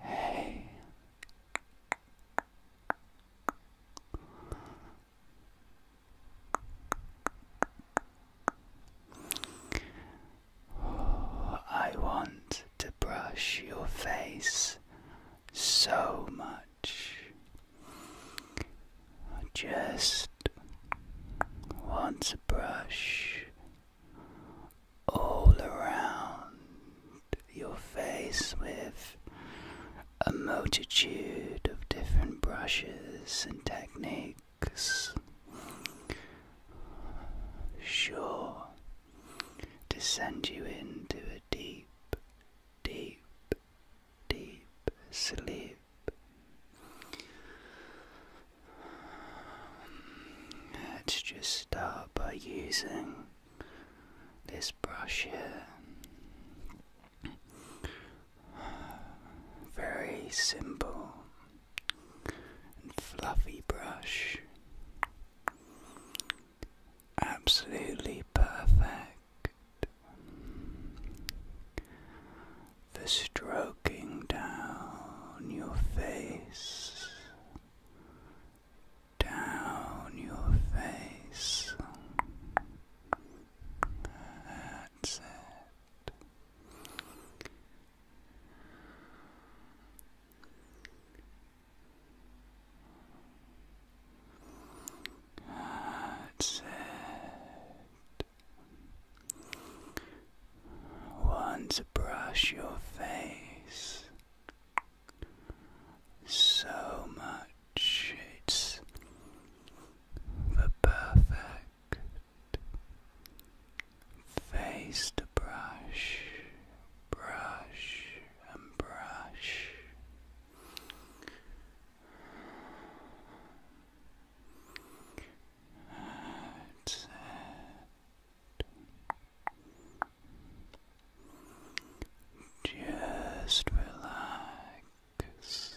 Hey. I want to brush your face so much. I just want brush all around your face with a multitude of different brushes and techniques. Sure to send you into a deep, deep, deep sleep. Let's just start by using this brush here. Very simple and fluffy brush. Absolutely perfect for stroking down your face, down your face. That's it. Once brush your face so much, it's the perfect face to brush, brush and brush. That's Just relax. That's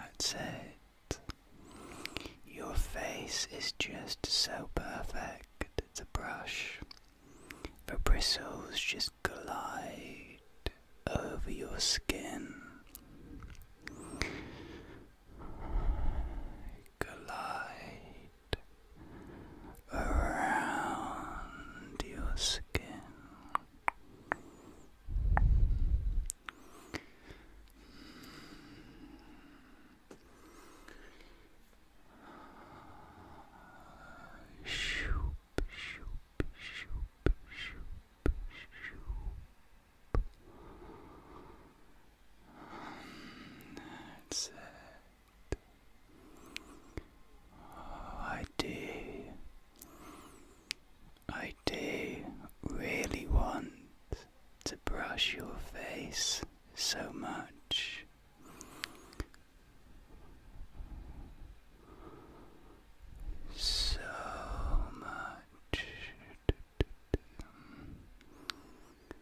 That's it. Your face is just so perfect. The brush, the bristles just glide over your skin glide around your skin. Shoop, shoop, shoop, shoop, shoop. Um, I do. I do really want to brush your face so much. So much.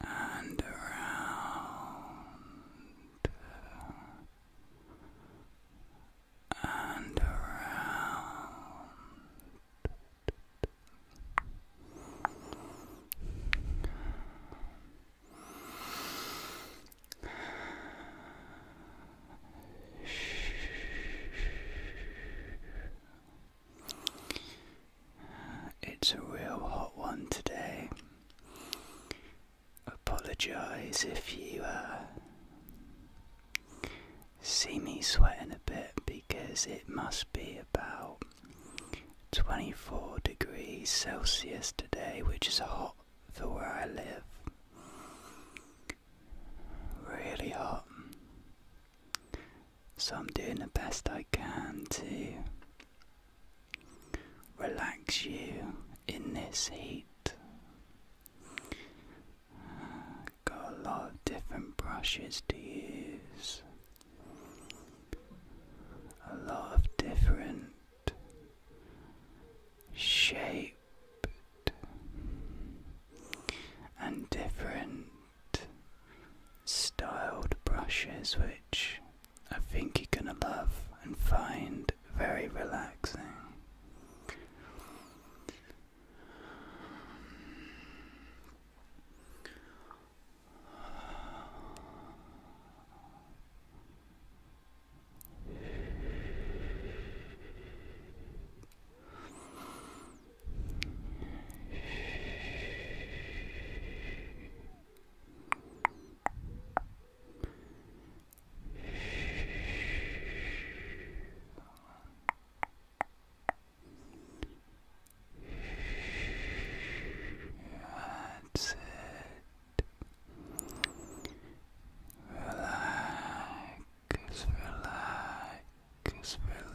and around and around. Shh. It's a real hot one today. Apologise if you uh, see me sweating a bit because it must be about 24 degrees Celsius today, which is hot for where I live. Really hot. So I'm doing the best I can to relax you in this heat. Uh, got a lot of different brushes to use, a lot of different shaped and different styled brushes, which I think you're going to love and find very relaxing. That's it. Relax, relax, relax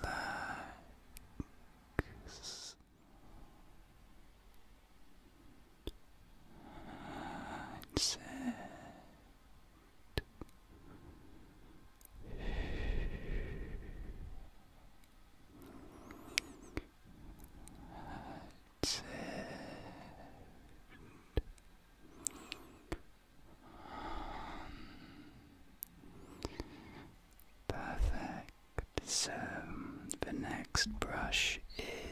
and said, Perfect. So the next brush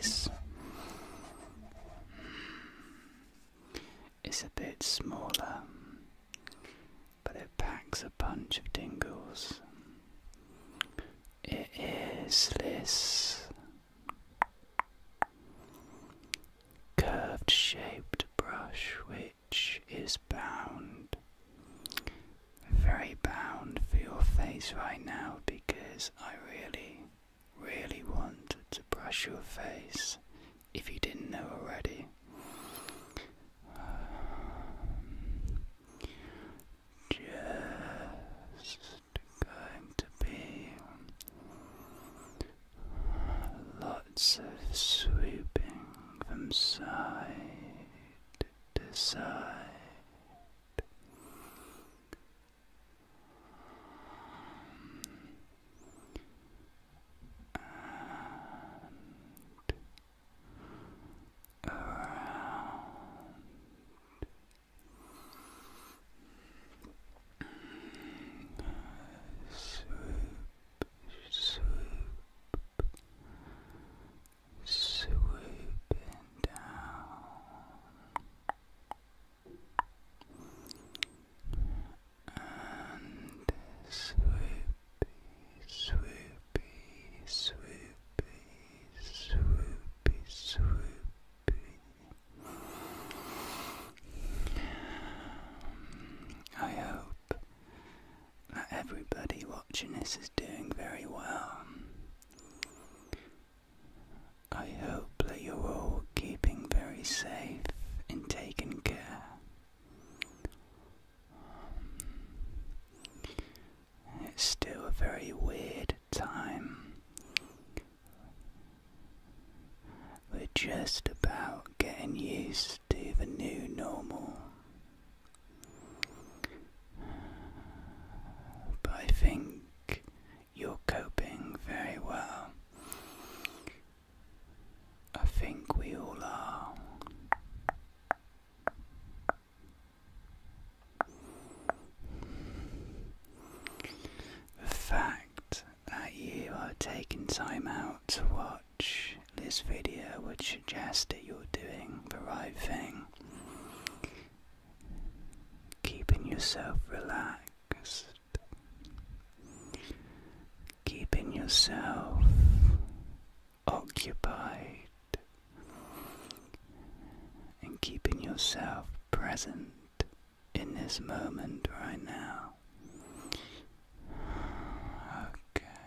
is it's a bit smaller, but it packs a bunch of dingles. It is this curved shaped brush, which is bound. Very bound for your face right now because I really, really want to brush your face if you didn't know already. just going to be lots of sweeping from side to decide. around. Sweep swoop, swooping down and swoopy, swoopy, swoopy, swoopy, swoopy. I hope that everybody watching this is doing very well. I hope you're all keeping very safe and taking care. It's still a very weird time. We're just about getting used to the new normal. But I think you're coping very well. I think we all are. The fact that you are taking time out to watch this video would suggest that you're doing the right thing. Keeping yourself relaxed. Keeping yourself occupied. And keeping yourself present in this moment right now. Okay.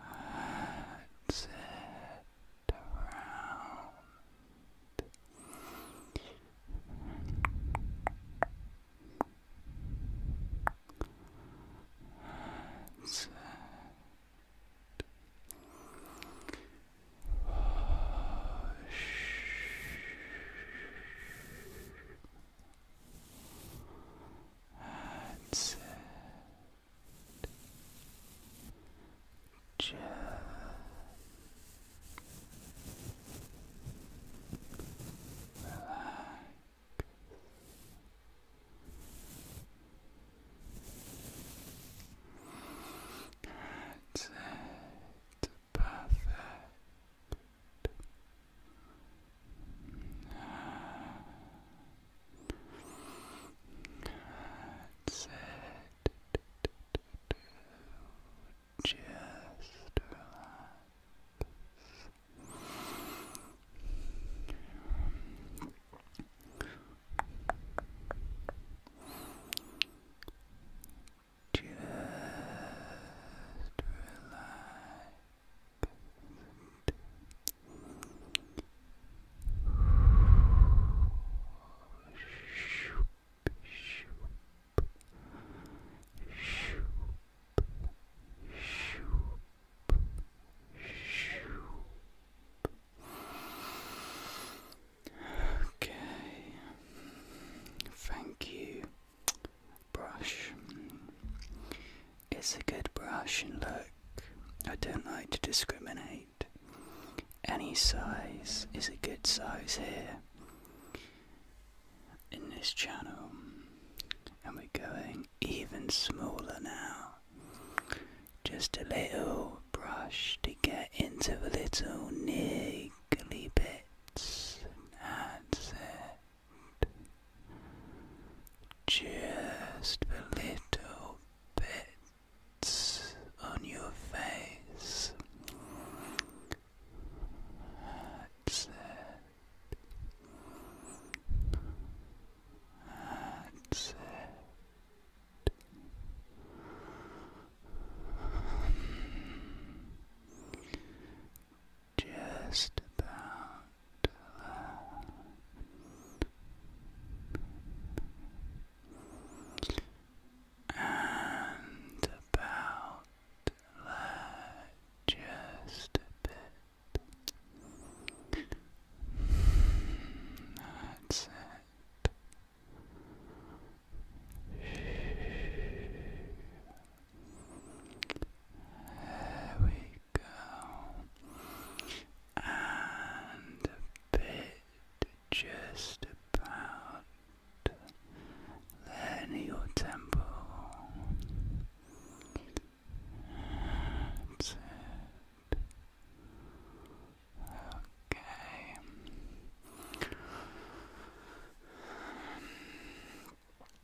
That's it around. That's it and sit gently relax. That's Perfect. That's it. Just relax. Just relax. Shoop, shoop, shoop, shoop, shoop. Okay. Thank you brush. It's a good brush, look, I don't like to discriminate. Any size is a good size here in this channel, and we're going even smaller now. Just a little brush to get into the little niggly bits. That's it just a little bits on your face. That's it. That's it just about there. And about there, just a bit. That's it. There we go. And a bit just about there your temple. Okay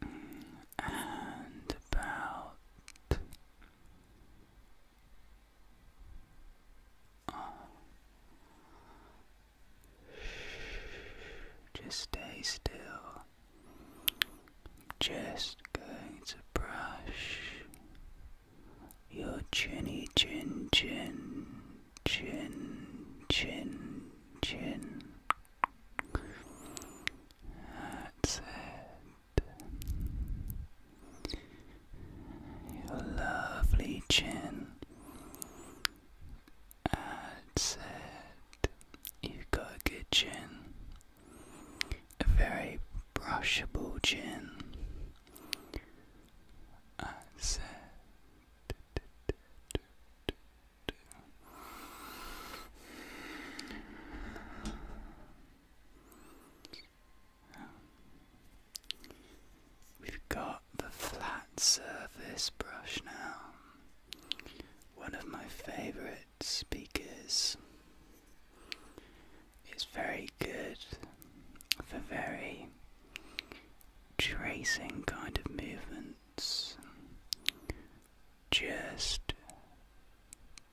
and about oh. just stay still. Just going to brush your chinny chin chin chin chin chin. That's it. Your lovely chin. That's it. You've got a good chin. A very brushable chin. That's it we've got the flat surface brush now. One of my favorites because It's very good for very tracing kind of movement. Just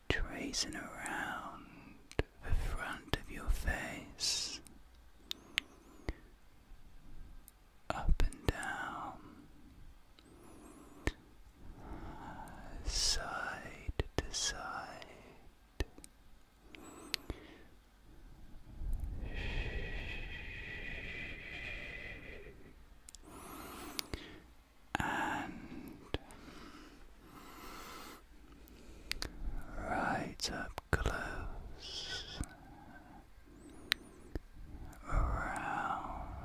tracing around the front of your face, up and down, side to side and right up close around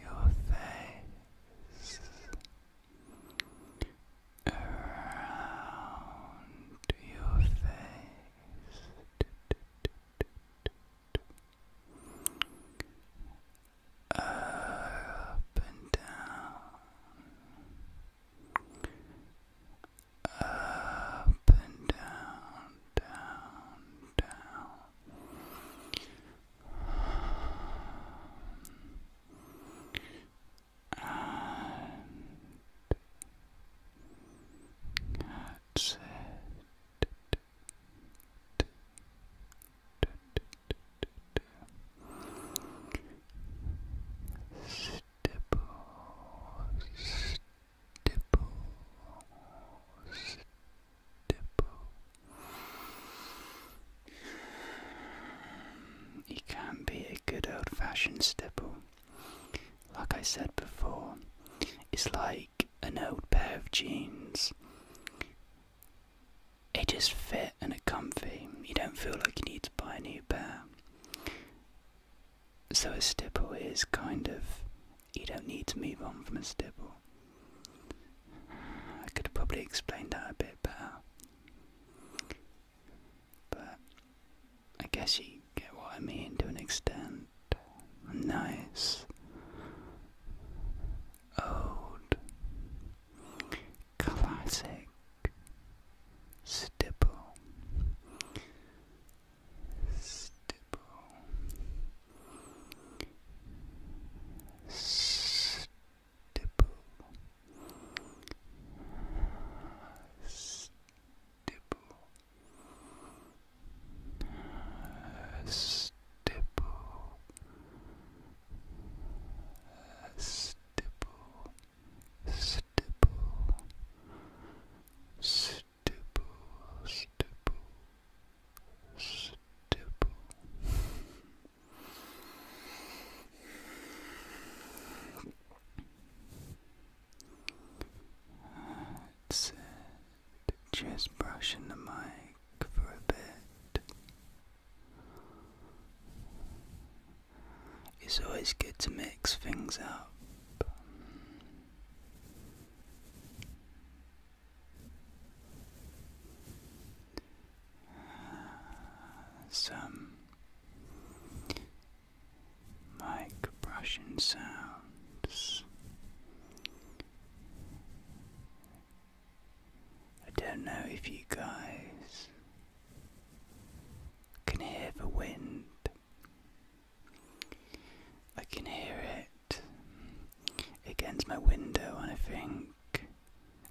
your face. Around your face, up and down. Up and down, down, down. And that's it. Stipple, stipple, stipple. He can be a good old fashioned stipple like I said before, it's like an old pair of jeans. It just fit and it's comfy. You don't feel like you need to buy a new pair. So a stipple is kind of you don't need to move on from a stipple. I could have probably explained that a bit better. But I guess you get what I mean to an extent. Nice. Old. Classic. Stipple. Stipple. Stipple. Stipple. Stipple, uh, stipple, uh, stipple, stipple, stipple, stipple, stipple. Uh, just brushing the mic for a bit. It's always good to mix things up. Some make brushing sounds. I don't know if you guys can hear the wind. I can hear it against my window, I think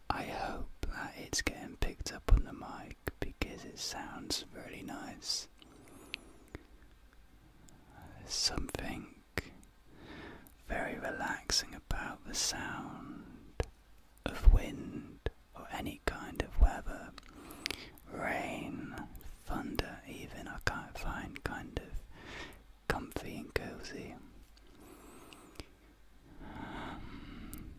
I hope that it's getting picked up on the mic because it sounds really nice. There's something very relaxing about the sound of wind or any kind of weather. Rain, thunder, even I can't find kind of comfy and cozy. Um,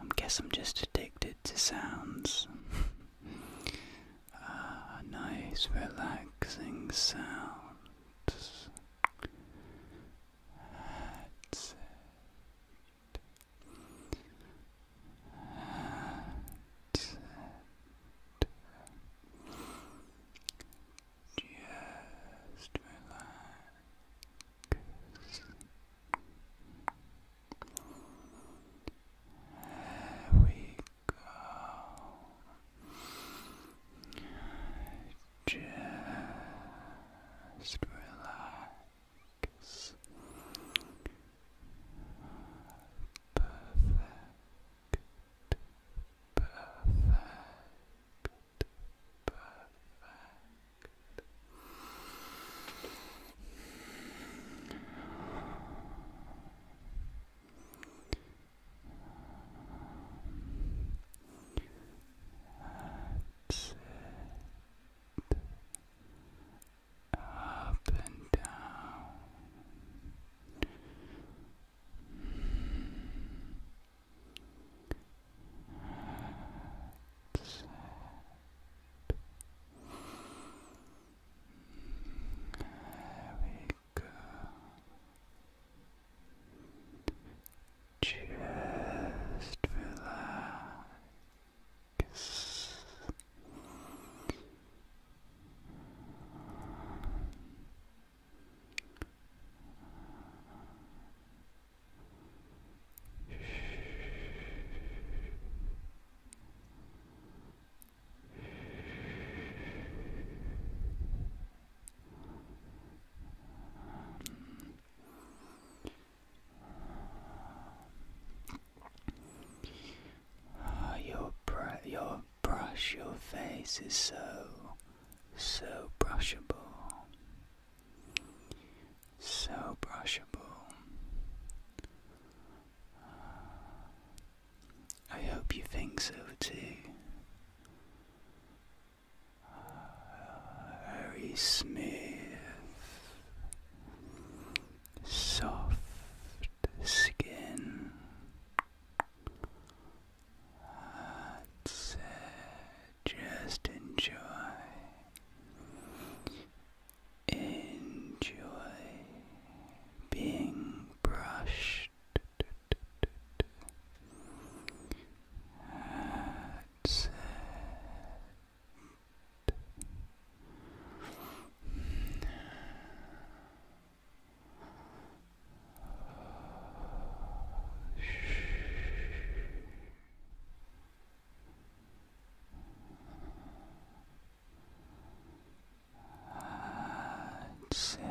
I guess I'm just addicted to sounds. ah, nice relaxing sounds. That's it. That's it. Just relax. There we go. Just relax. Perfect. Perfect. Perfect. That's it. Up and down go. Just relax. Just relax. Ah, your br your brush, your face is so so brushable. So brushable. Uh, I hope you think so too. Uh, very smooth, soft skin. That's it. Just enjoy. Enjoy being brushed. That's it. That's it. Perfect.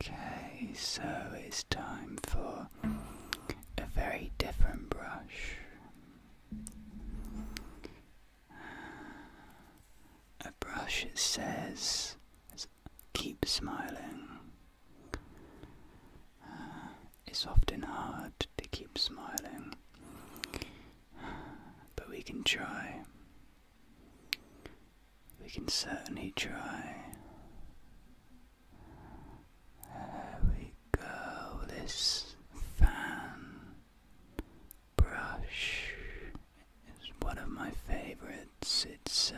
Okay, so it's time for a very different brush. A brush that says, keep smiling. Uh, it's often hard to keep smiling, but we can try. We can certainly try. There we go. This fan brush is one of my favorites. It's so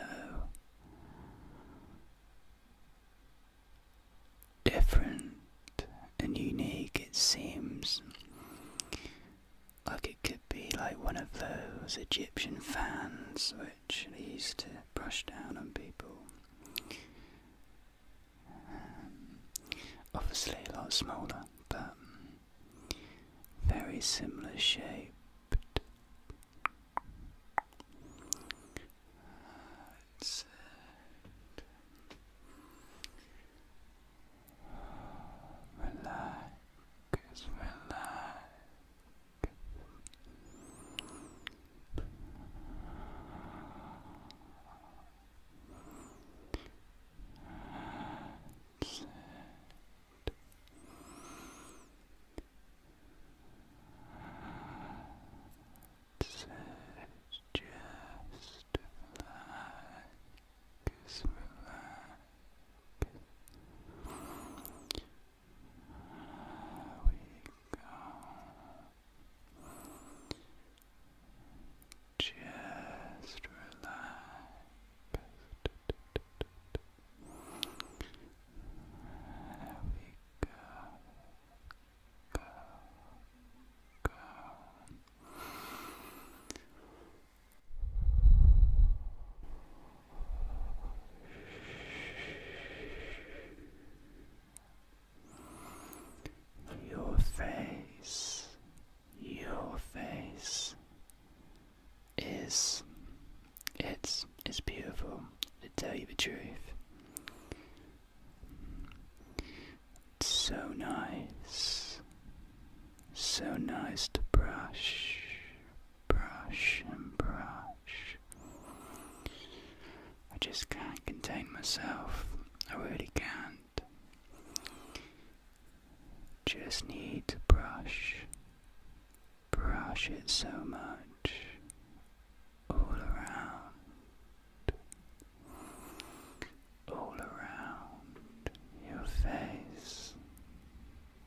different and unique, it seems. Like it could be like one of those Egyptian fans which used to brush down on people. Um, obviously, a lot smaller, but very similar shape. Uh, that's it. That's it. Just we go. Just relax. we go. Go. Go. Your face, your face is it's it's beautiful to tell you the truth. so nice, so nice to brush, brush and brush. I just can't contain myself. I really can't. Just need to brush. Brush it so much. All around. All around your face. All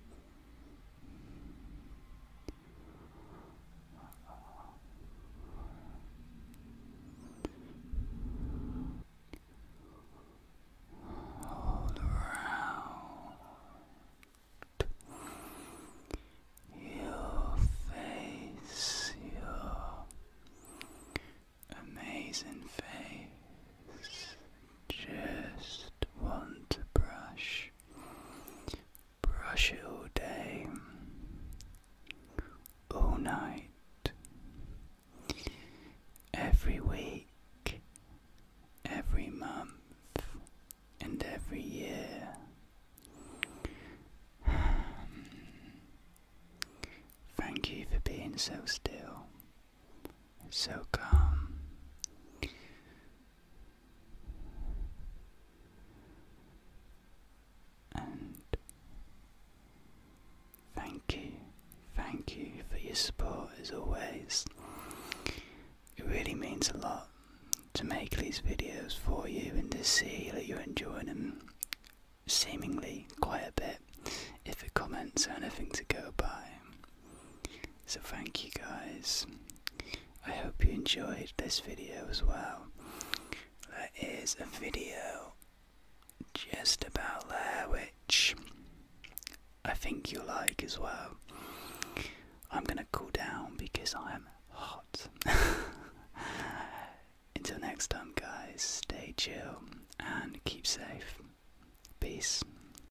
around your face, your amazing face. Just want to brush Brush all day, all night, every week, every month, and every year. Thank you for being so still so calm. And thank you, thank you for your support as always. It really means a lot to make these videos for you and to see that you're enjoying them seemingly quite a bit. If the comments are anything to go by, so thank you guys. I hope you enjoyed this video as well. There is a video just about there which I think you'll like as well. I'm gonna cool down because I am hot. Until next time, guys, stay chill and keep safe. Peace.